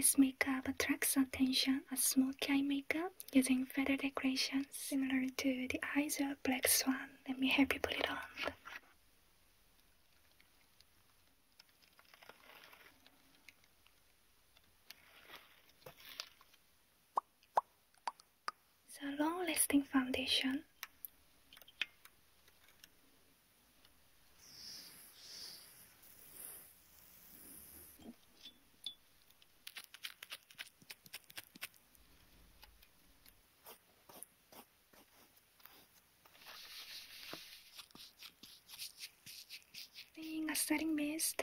This makeup attracts attention as smoky eye makeup using feather decorations, similar to the eyes of black swan. Let me help you put it on. It's long-lasting foundation being a setting mist,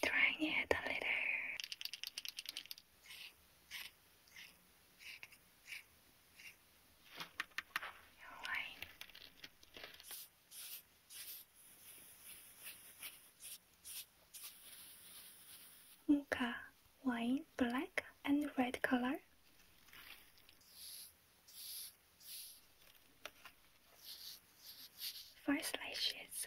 Trying it a little. Hawaiian. wine, black and red color. Four slices.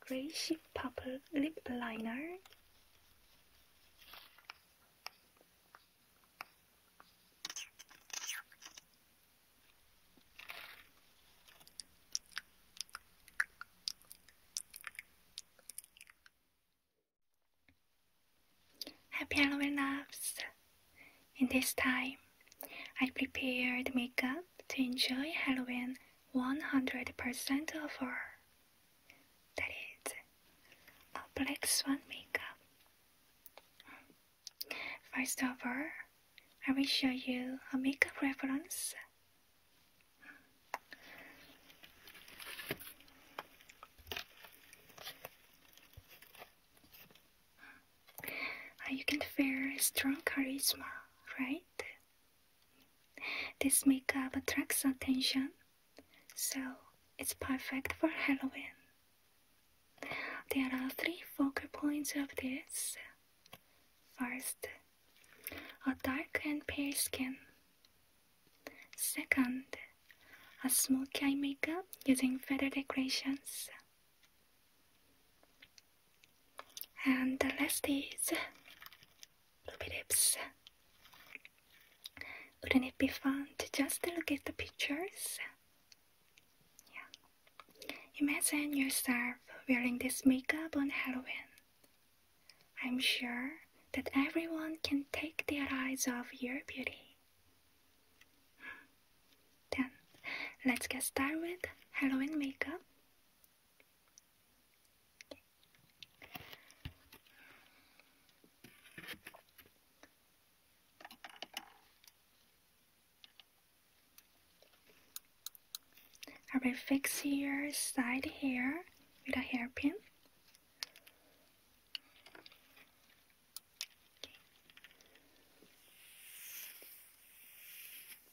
Grayish Purple Lip Liner Happy Halloween loves! In this time, I prepared makeup to enjoy Halloween 100% of all. That is, a black swan makeup. First of all, I will show you a makeup reference. Ah, you can feel strong charisma, right? This makeup attracts attention, so it's perfect for Halloween. There are three focal points of this. First, a dark and pale skin. Second, a smoky eye makeup using feather decorations. And the last is ruby lips. Wouldn't it be fun to just look at the pictures? Yeah. Imagine yourself wearing this makeup on Halloween. I'm sure that everyone can take their eyes off your beauty. Then let's get started with Halloween makeup. I will fix your side hair with a hairpin.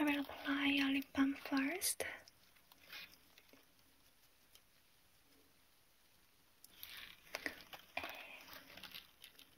I will apply a lip balm first.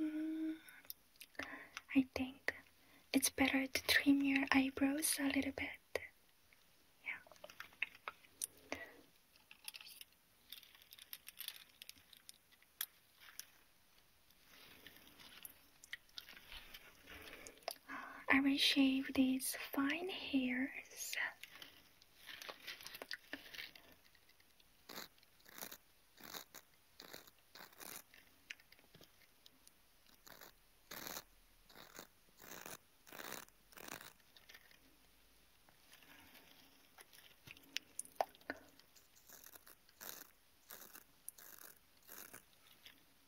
Mm, I think it's better to trim your eyebrows a little bit. Yeah. I will shave these fine hairs.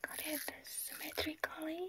Got it symmetrically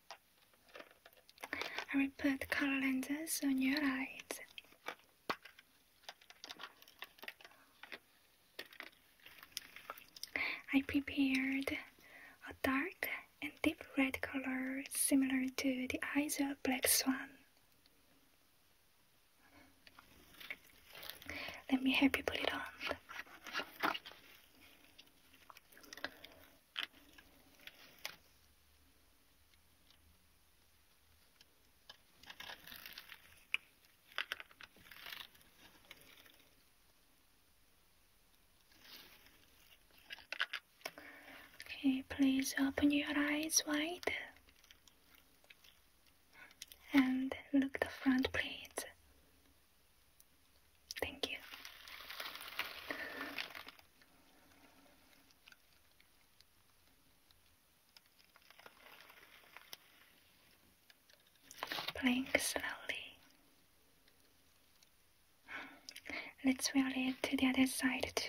I will put color lenses on your eyes. I prepared a dark and deep red color similar to the eyes of a black swan. Let me help you put it on. Okay, please open your eyes wide and look the front please. Thank you. Playing slowly. Hmm. Let's wheel it to the other side too.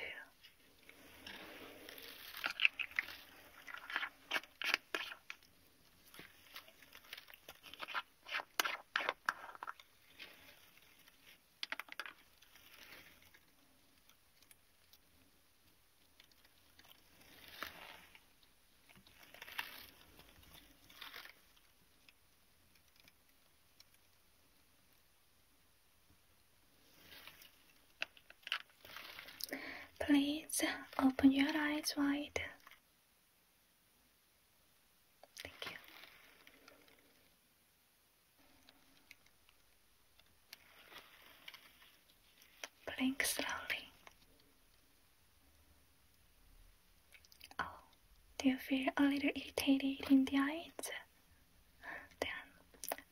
Please open your eyes wide. Thank you. Blink slowly. Oh, do you feel a little irritated in the eyes? Then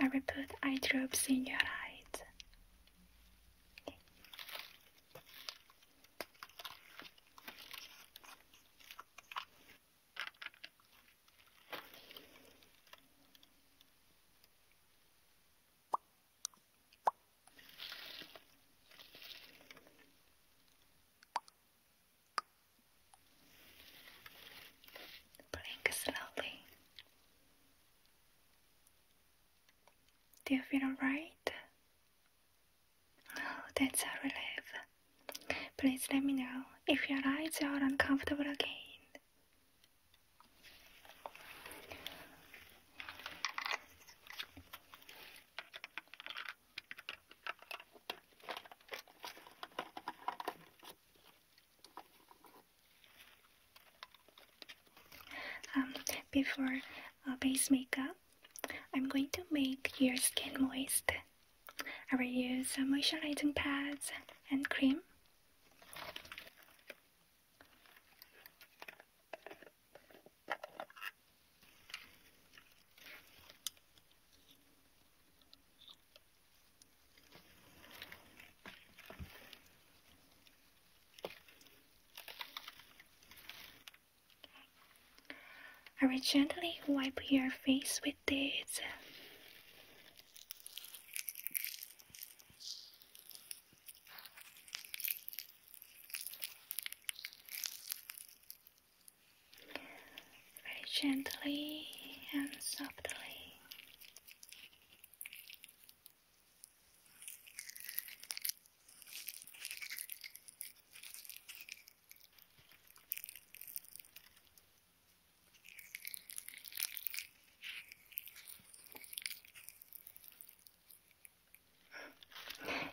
I will put eye drops in your eyes. Blink slowly. Do you feel alright? Oh, that's a relief. Please let me know if your eyes are uncomfortable again. Um, before uh, base makeup, I'm going to make your skin moist I will use moisturizing pads and cream. I will gently wipe your face with these. Very gently and softly.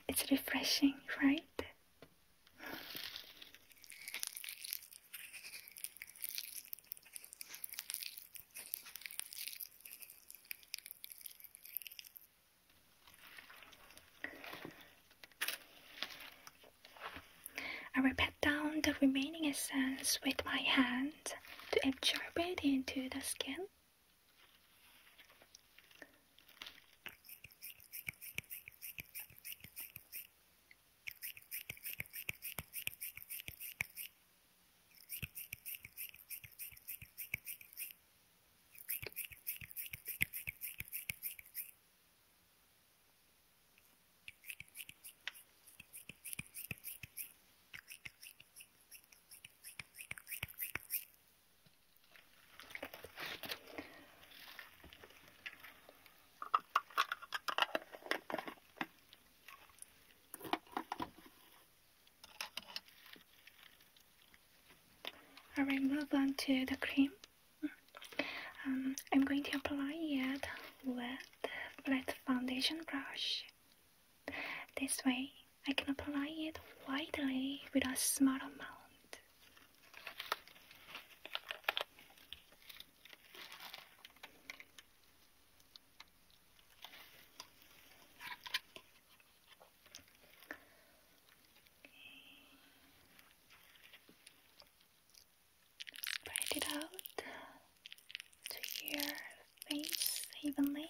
It's refreshing, right? I rub it down the remaining essence with my hand to absorb it into the skin. I will move on to the cream. Um, I'm going to apply it with the flat foundation brush. This way, I can apply it widely with a small amount. Spread it out to your face evenly.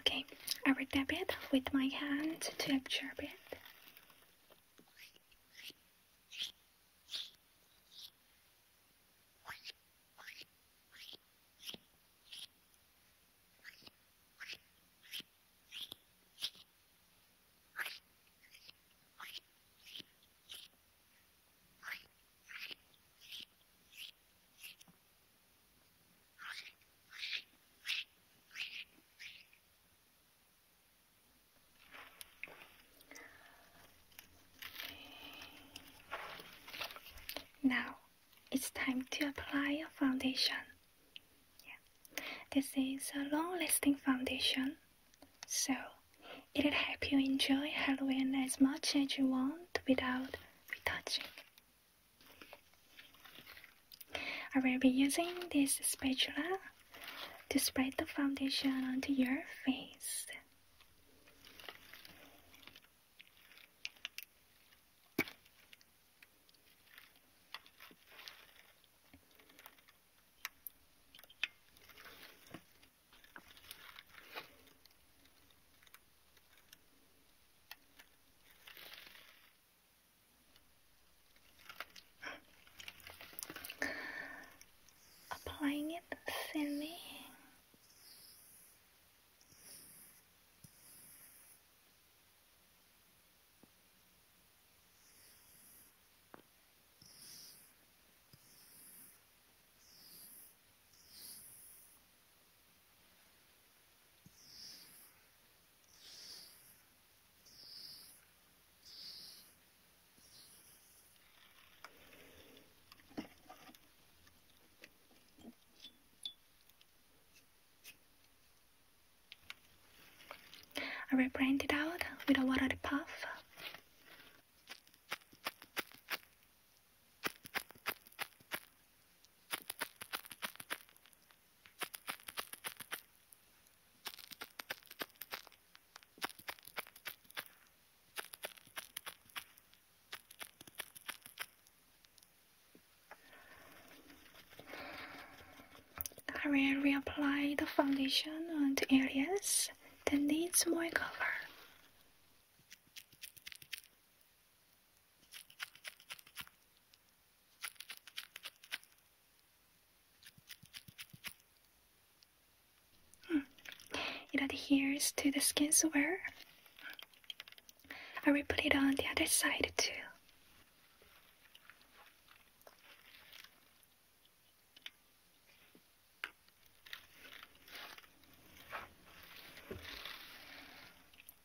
Okay, I will tap it with my hand to absorb it. Now it's time to apply your foundation. This is a long lasting foundation, so it'll help you enjoy Halloween as much as you want without retouching. I will be using this spatula to spread the foundation onto your face. Applying it thinly. I will blend it out with a watered puff. I will reapply the foundation on the areas that needs more cover. It adheres to the skin so well. I will put it on the other side too.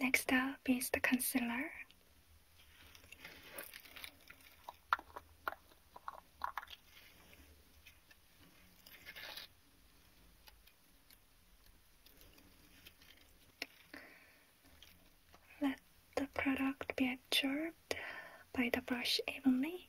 Next up is the concealer. Let the product be absorbed by the brush evenly.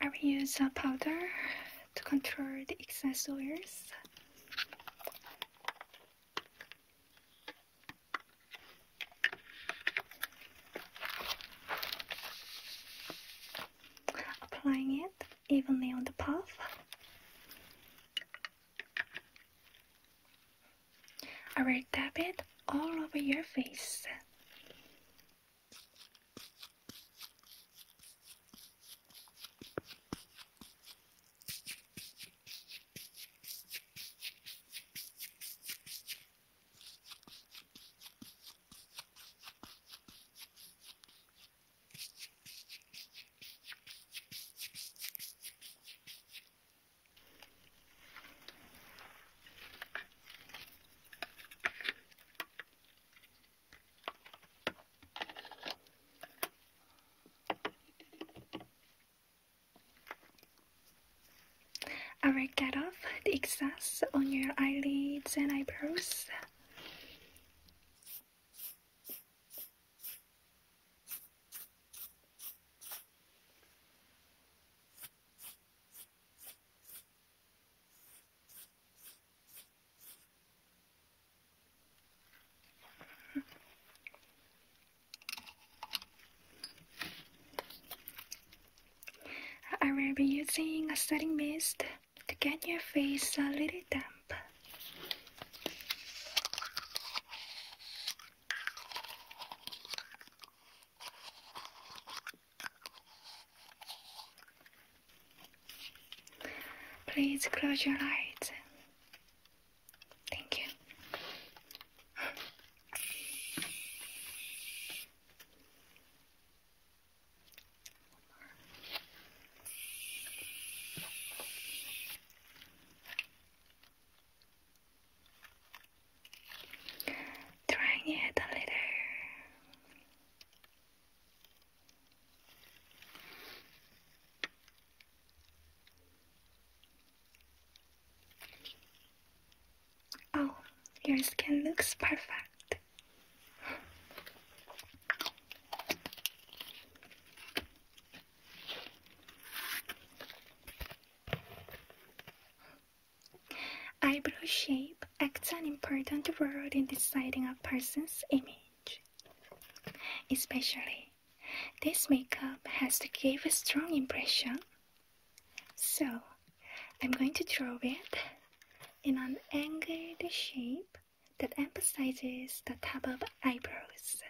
I will use a powder to control the excess oils. Applying it evenly on the path. I will dab it all over your face. I will get off the excess on your eyelids and eyebrows. I will be using a setting mist to get your face a little damp. Please close your eyes. Thank you. Trying it a little. Oh, your skin looks perfect. Eyebrow shape acts an important role in deciding a person's image. Especially, this makeup has to give a strong impression. So, I'm going to draw it in an angled shape that emphasizes the top of eyebrows.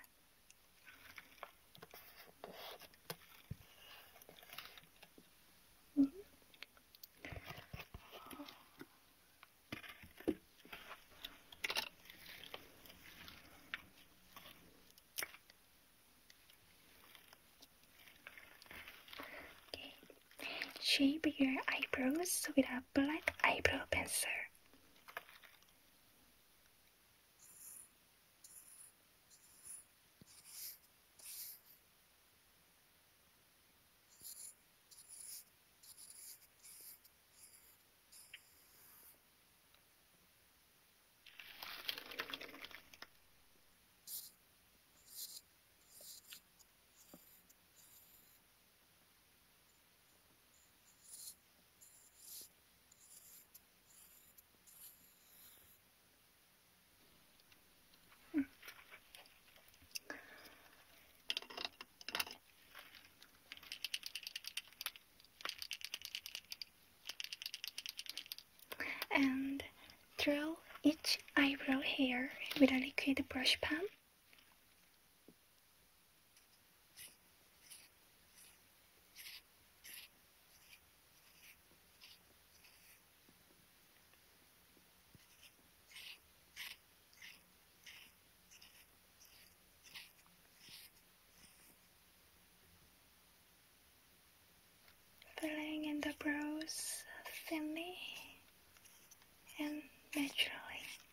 Shape your eyebrows without a black eyebrow pencil and draw each eyebrow hair with a liquid brush pen filling in the brows thinly and naturally.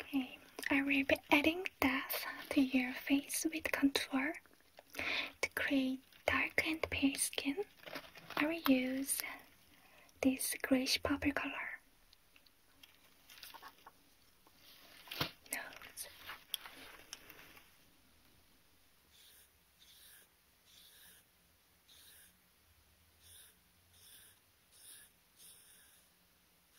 Okay, I will be adding depth to your face with contour. To create dark and pale skin, I will use this grayish purple color.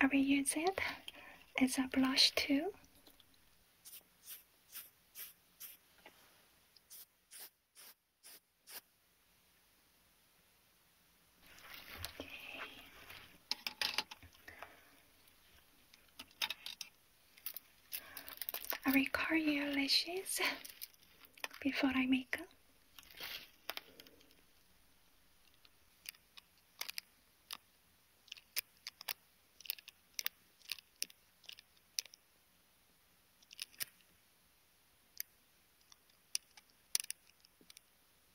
I will use it as a blush too. I will your lashes before I make up.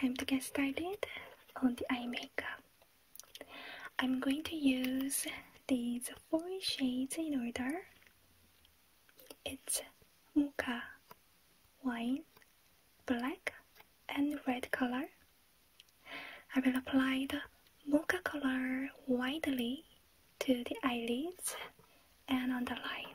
Time to get started on the eye makeup. I'm going to use these four shades in order it's mocha wine, black and red color. I will apply the mocha color widely to the eyelids and on the line.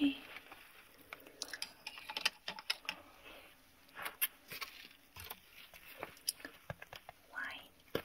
Okay. Why?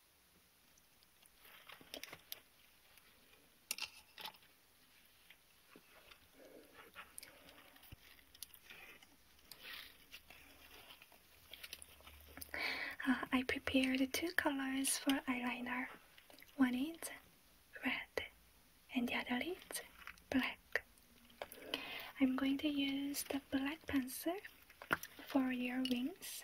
Uh, I prepared two colors for eyeliner. One is red and the other is black. I'm going to use the black pencil for your wings.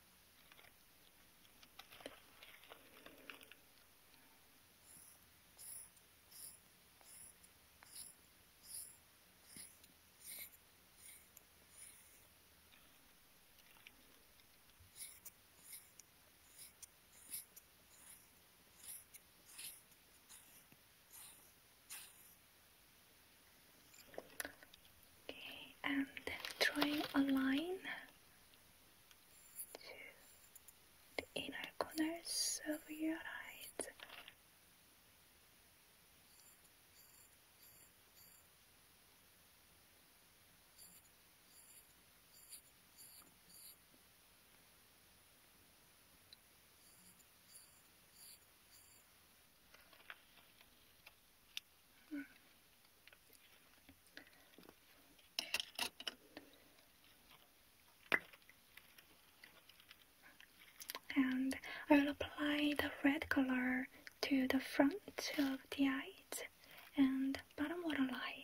Okay, and drawing a line to the inner corners of your eyes. And I will apply the red color to the front of the eyes and bottom waterline.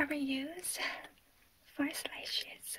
I will use four slices.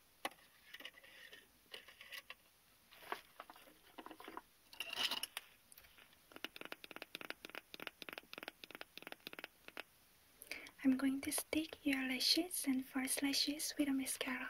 I'm going to stick your lashes and false lashes with a mascara.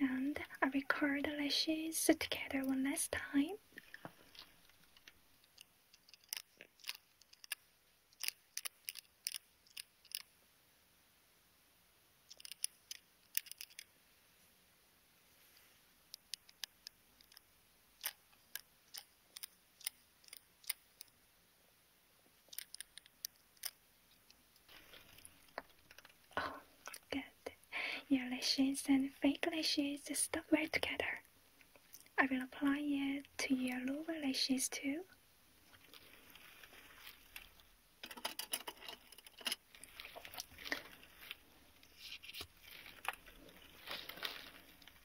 And I record the lashes together one last time. Oh, good. Your lashes and fake lashes stop well together. I will apply it to your lower lashes too.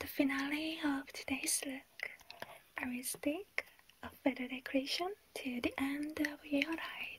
The finale of today's look, I will stick a feather decoration to the end of your right.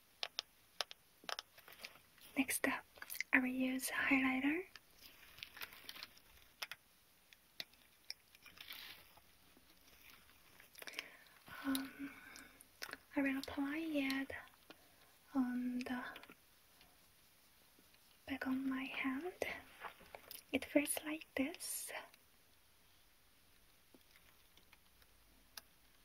Next up, I will use highlighter. Um, I will apply it on the back of my hand. It feels like this.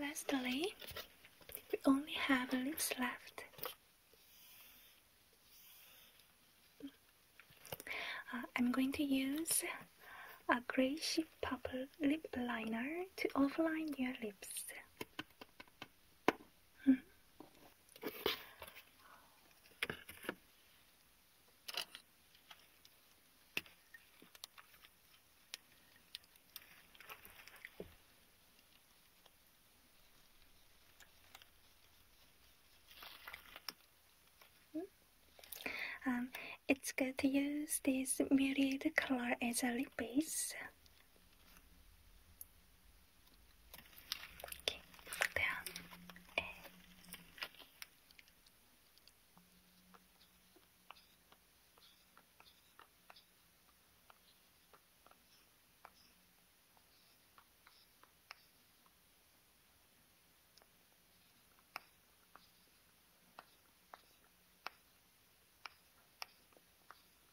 Lastly, we only have lips left. Uh, I'm going to use a grayish purple lip liner to outline your lips. Hmm. Um, it's good to use this muted color as a lip base. Okay, down and Okay.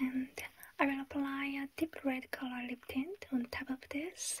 And I will apply a deep red color lip tint on top of this.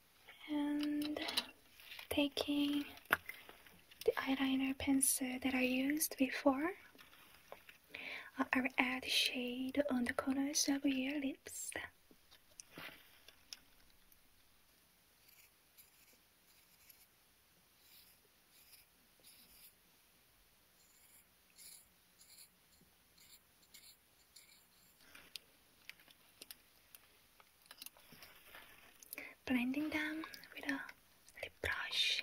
and taking the eyeliner pencil that I used before, uh, I will add shade on the corners of your lips blending them with a lip brush.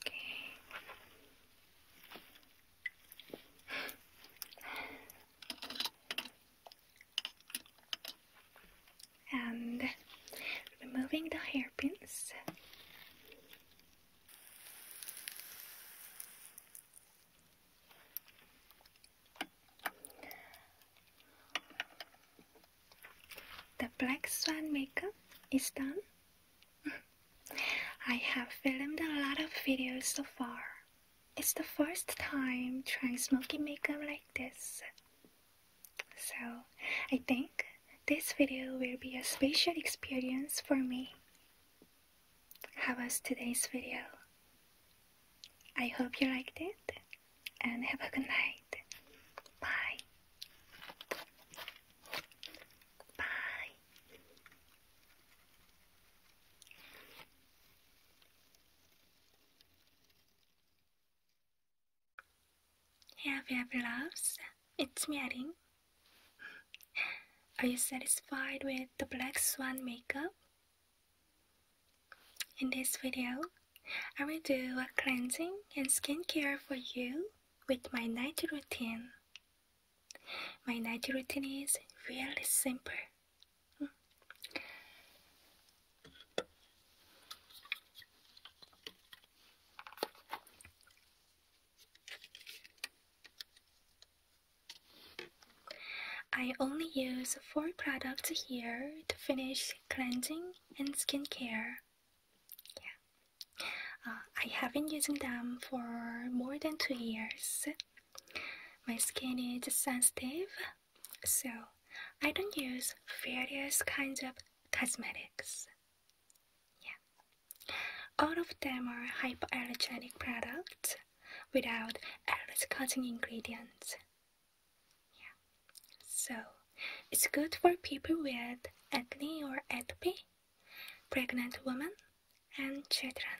Okay and removing the hairpins. The black swan makeup is done. I have filmed a lot of videos so far. It's the first time trying smoky makeup like this. So, I think this video will be a special experience for me. How was today's video? I hope you liked it and have a good night. Bye. Bye. Hey, happy loves, it's me, Arin. Are you satisfied with the Black Swan makeup? In this video, I will do a cleansing and skincare for you with my night routine. My night routine is really simple. I only use four products here to finish cleansing and skincare. Yeah. Uh, I have been using them for more than two years. My skin is sensitive, so I don't use various kinds of cosmetics. Yeah. All of them are hypoallergenic products without allergy ingredients. Yeah. So it's good for people with acne or atopy, pregnant women, and children.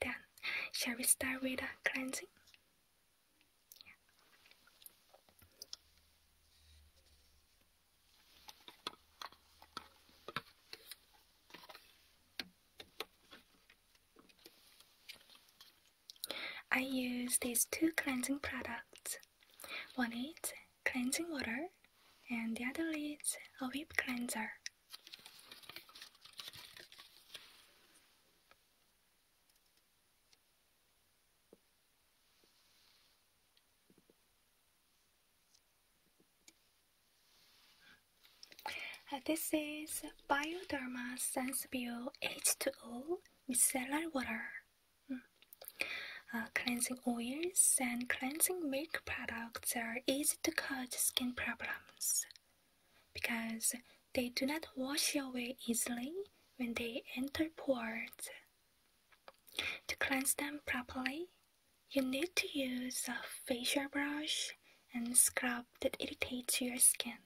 Then, shall we start with a cleansing? I use these two cleansing products. One is cleansing water and the other is a whip cleanser. Uh, this is Bioderma Sensibio H2O Micellar Water. Hmm. Uh, cleansing oils and cleansing milk products are easy to cause skin problems because they do not wash away easily when they enter pores. To cleanse them properly, you need to use a facial brush and scrub that irritates your skin.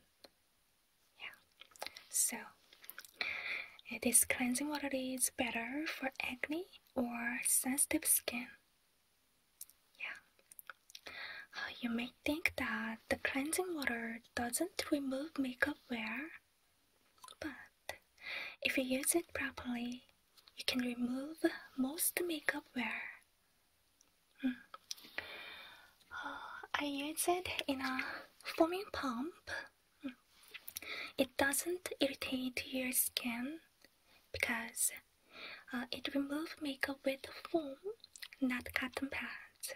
Yeah. So, uh, this cleansing water is better for acne or sensitive skin. Yeah. Uh, you may think that the cleansing water doesn't remove makeup wear, but if you use it properly, you can remove most makeup wear. Hmm. Oh, I use it in a foaming pump. Hmm. It doesn't irritate your skin because uh, it removes makeup with foam, not cotton pads.